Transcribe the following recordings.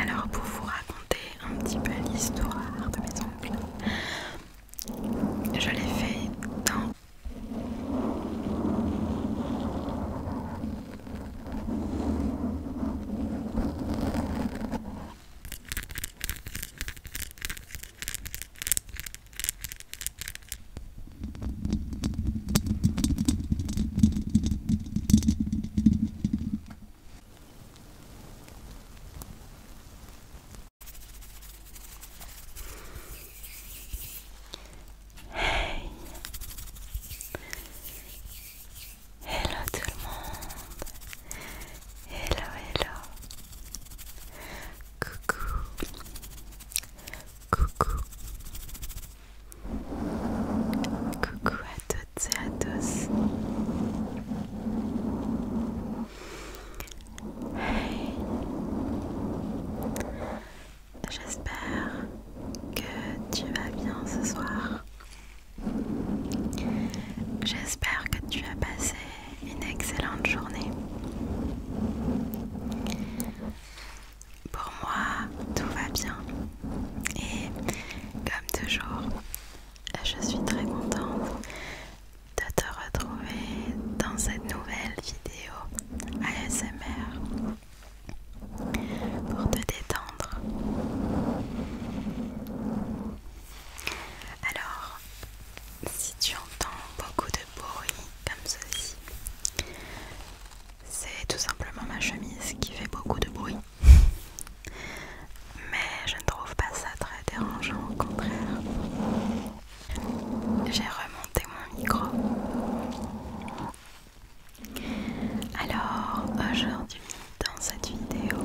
Alors pour vous raconter un petit peu l'histoire de mes oncles, je l'ai fait dans... Hey Hello tout le monde Hello hello Coucou Coucou Coucou à toutes et à tous. J'espère que tu vas bien ce soir. J'espère que tu as passé une excellente journée. Pour moi, tout va bien. Et comme toujours, je suis très contente de te retrouver dans cette nouvelle vidéo ASMR pour te détendre. Alors, si tu entends beaucoup de bruit comme ceci, c'est tout simplement ma chemise qui fait beaucoup de bruit. Mais je ne trouve pas ça très dérangeant, au contraire. J'ai remonté mon micro. Alors, aujourd'hui, dans cette vidéo,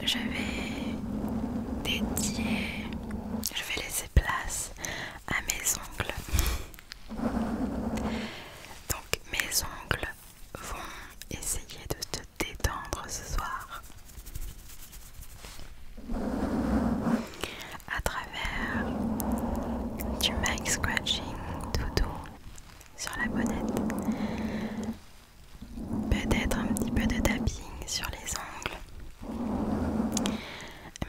je vais dédier, je vais laisser place à mes ongles. Donc mes ongles vont essayer de te détendre ce soir à travers du mic scratching toutou sur la bonnette, peut-être un petit peu de tapping sur les ongles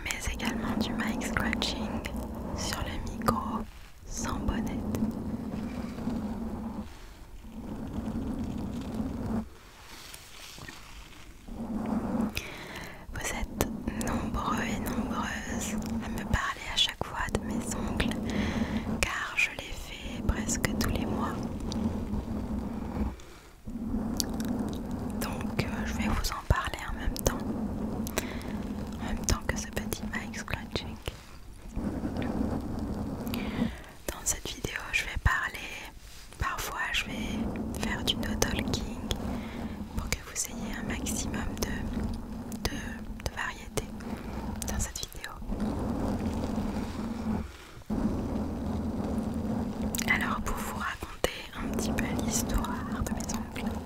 mais également du mic scratching sur le micro sans bonnet. Vous êtes nombreux et nombreuses à me parler à chaque fois de mes ongles car je les fais presque tous les mois. Donc euh, je vais vous en parler en même temps. En même temps que ce petit mic scratching. Dans cette vidéo, je vais parler, parfois je vais faire du no talking pour que vous ayez un maximum de, de variété dans cette vidéo. Alors pour vous raconter un petit peu l'histoire de mes ongles,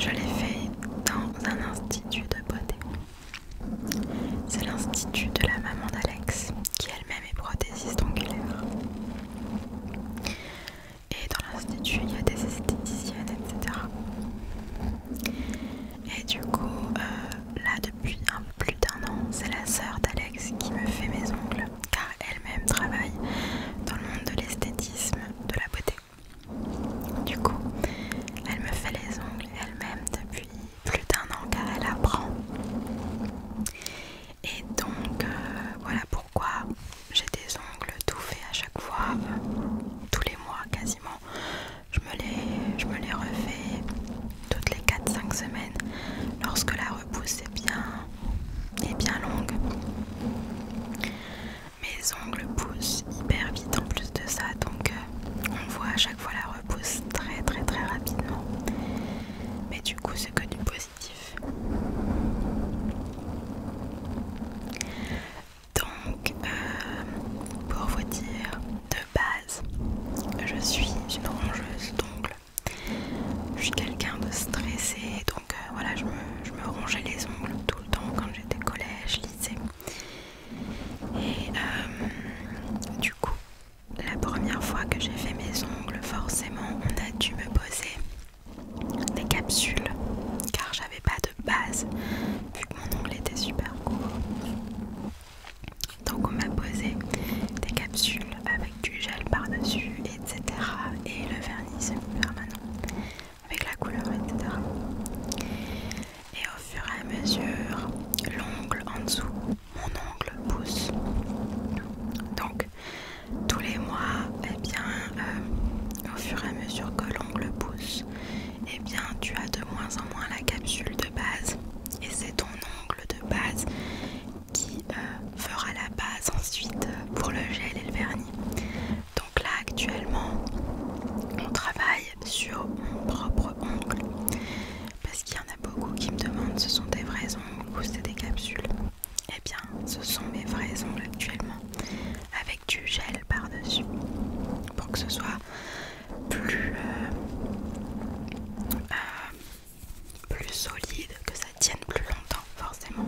je l'ai fait dans un institut de beauté. C'est l'institut de la maman d'Alex, qui elle-même est prothésiste angulaire. Et dans l'institut, il y a des esthéticiennes, etc. Et du coup, euh, là depuis plus d'un an. C'est la sœur d'Alex qui me fait mes ongles, car elle-même travaille dans le monde de l'esthétisme, de la beauté. Du coup, elle me fait les ongles elle-même depuis plus d'un an, car elle apprend. Et donc, euh, voilà pourquoi j'ai des ongles tout faits à chaque fois, tous les mois quasiment. je me les refais toutes les 4-5 semaines lorsque la repousse est bien, et bien longue. Mes ongles poussent hyper vite en plus de ça, donc euh, on voit à chaque fois la repousse très très très rapidement. Mais du coup c'est que du positif. Donc euh, pour vous dire de base, je suis une rongeuse d'ongles. Je suis quelqu'un de stressé, donc euh, voilà, je me, rongeais les ongles tout le temps quand j'étais collège, lycée. Et euh, du coup, la première fois que j'ai fait mes ongles, forcément, on a dû me poser des capsules car j'avais pas de base vu que mon ongle était super court. Donc on m'a posé des capsules avec du gel par-dessus, etc. Et le vernis permanent avec la couleur, etc. Et au fur et à mesure, l'ongle en dessous, mon ongle pousse. Donc tous les mois, et eh bien, euh, au fur et à mesure que l'ongle pousse, et eh bien, tu as de moins en moins la capsule de base et c'est ton ongle de base qui euh, fera la base ensuite euh, pour le gel et le vernis. Donc là actuellement on travaille sur mon propre ongle parce qu'il y en a beaucoup qui me demandent ce sont des vrais ongles ou c'est des capsules. Et eh bien ce sont mes vrais ongles actuellement avec du gel par-dessus pour que ce soit euh, euh, plus, solide, que ça tienne plus longtemps forcément.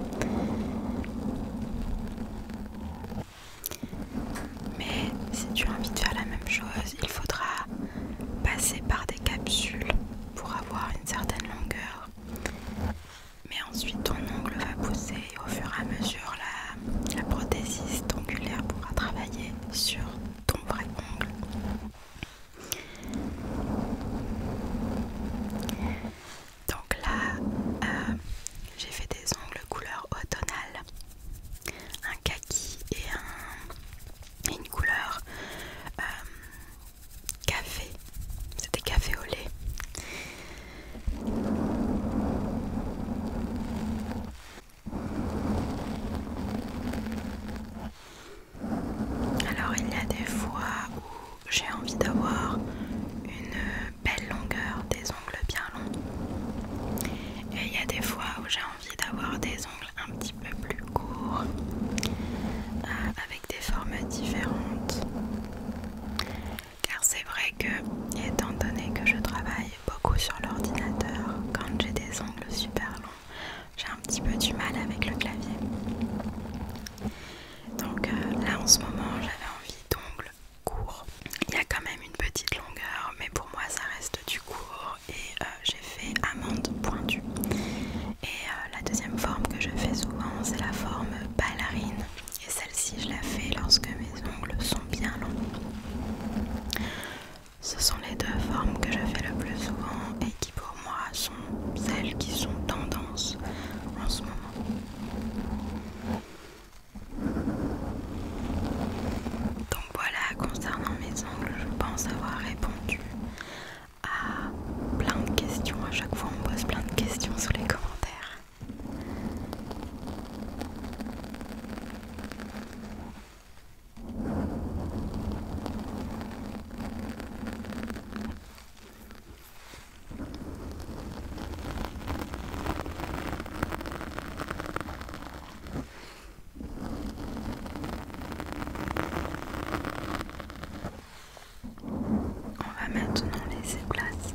Mais si tu as envie de faire la même chose, il faudra passer par des capsules pour avoir une certaine longueur. Mais ensuite ton ongle va pousser et au fur et à mesure la, la prothésiste pourra travailler sur ton vrai Donc là, euh, j'ai fait des ongles couleur automnale, un kaki et, une couleur euh, café. C'était café au lait. Alors il y a des fois où j'ai envie d'avoir une belle longueur, des ongles bien longs. Et il y a des fois où j'ai envie d'avoir des ongles un petit peu plus courts, euh, avec des formes différentes. Car c'est vrai que, étant donné que je travaille beaucoup sur l'ordinateur. Quand j'ai des ongles super longs, j'ai un petit peu du mal avec le clavier. Donc euh, là en ce moment, j'avais envie d'ongles courts. Il y a quand même une petite longueur, mais pour moi ça reste du court. Et euh, j'ai fait amande pointue. Et euh, la deuxième forme que je fais souvent, c'est la forme ballerine. Et celle-ci, je la fais lorsque mes ongles sont bien longs. Ce sont les deux formes que je fais le plus souvent et qui pour moi sont celles qui sont tendances en ce moment. Donc voilà, concernant mes ongles, je pense avoir répondu à plein de questions. À chaque fois, on pose plein de questions sous les commentaires. On va maintenant laisser place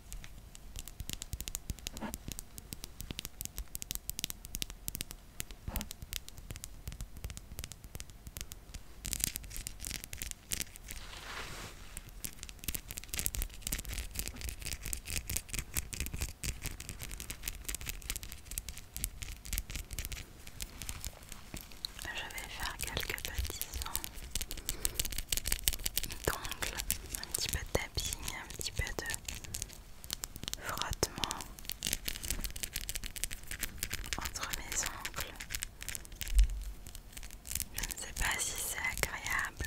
Je vais faire quelques petits sons un petit peu de tapping, un petit peu de frottement entre mes ongles. Je ne sais pas si c'est agréable.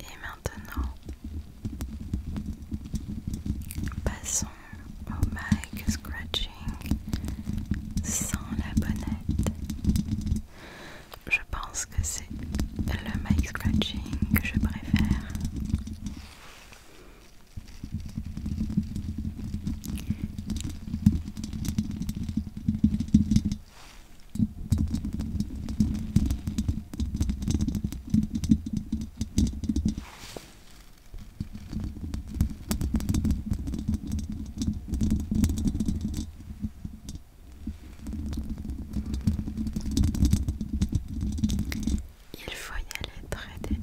Et maintenant, passons au mic scratching sans la bonnette. Je pense que c'est le mic scratching que je préfère. Il faut y aller très délicatement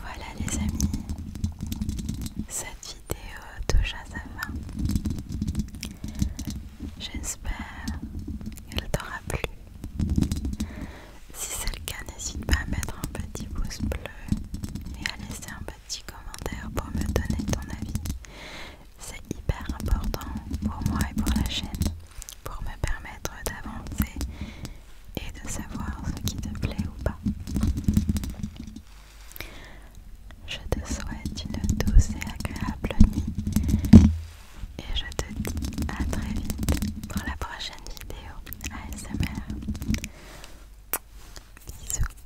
Voilà les amis, cette vidéo touche à sa fin. J'espère qu'elle t'aura plu. Si c'est le cas, n'hésite pas à mettre un petit pouce bleu et à laisser un petit commentaire pour me donner ton avis. C'est hyper important pour moi et pour la chaîne pour me permettre d'avancer et de savoir ce qui te plaît ou pas. Je te souhaite une douce et agréable nuit et je te dis à très vite pour la prochaine vidéo ASMR. Bisous.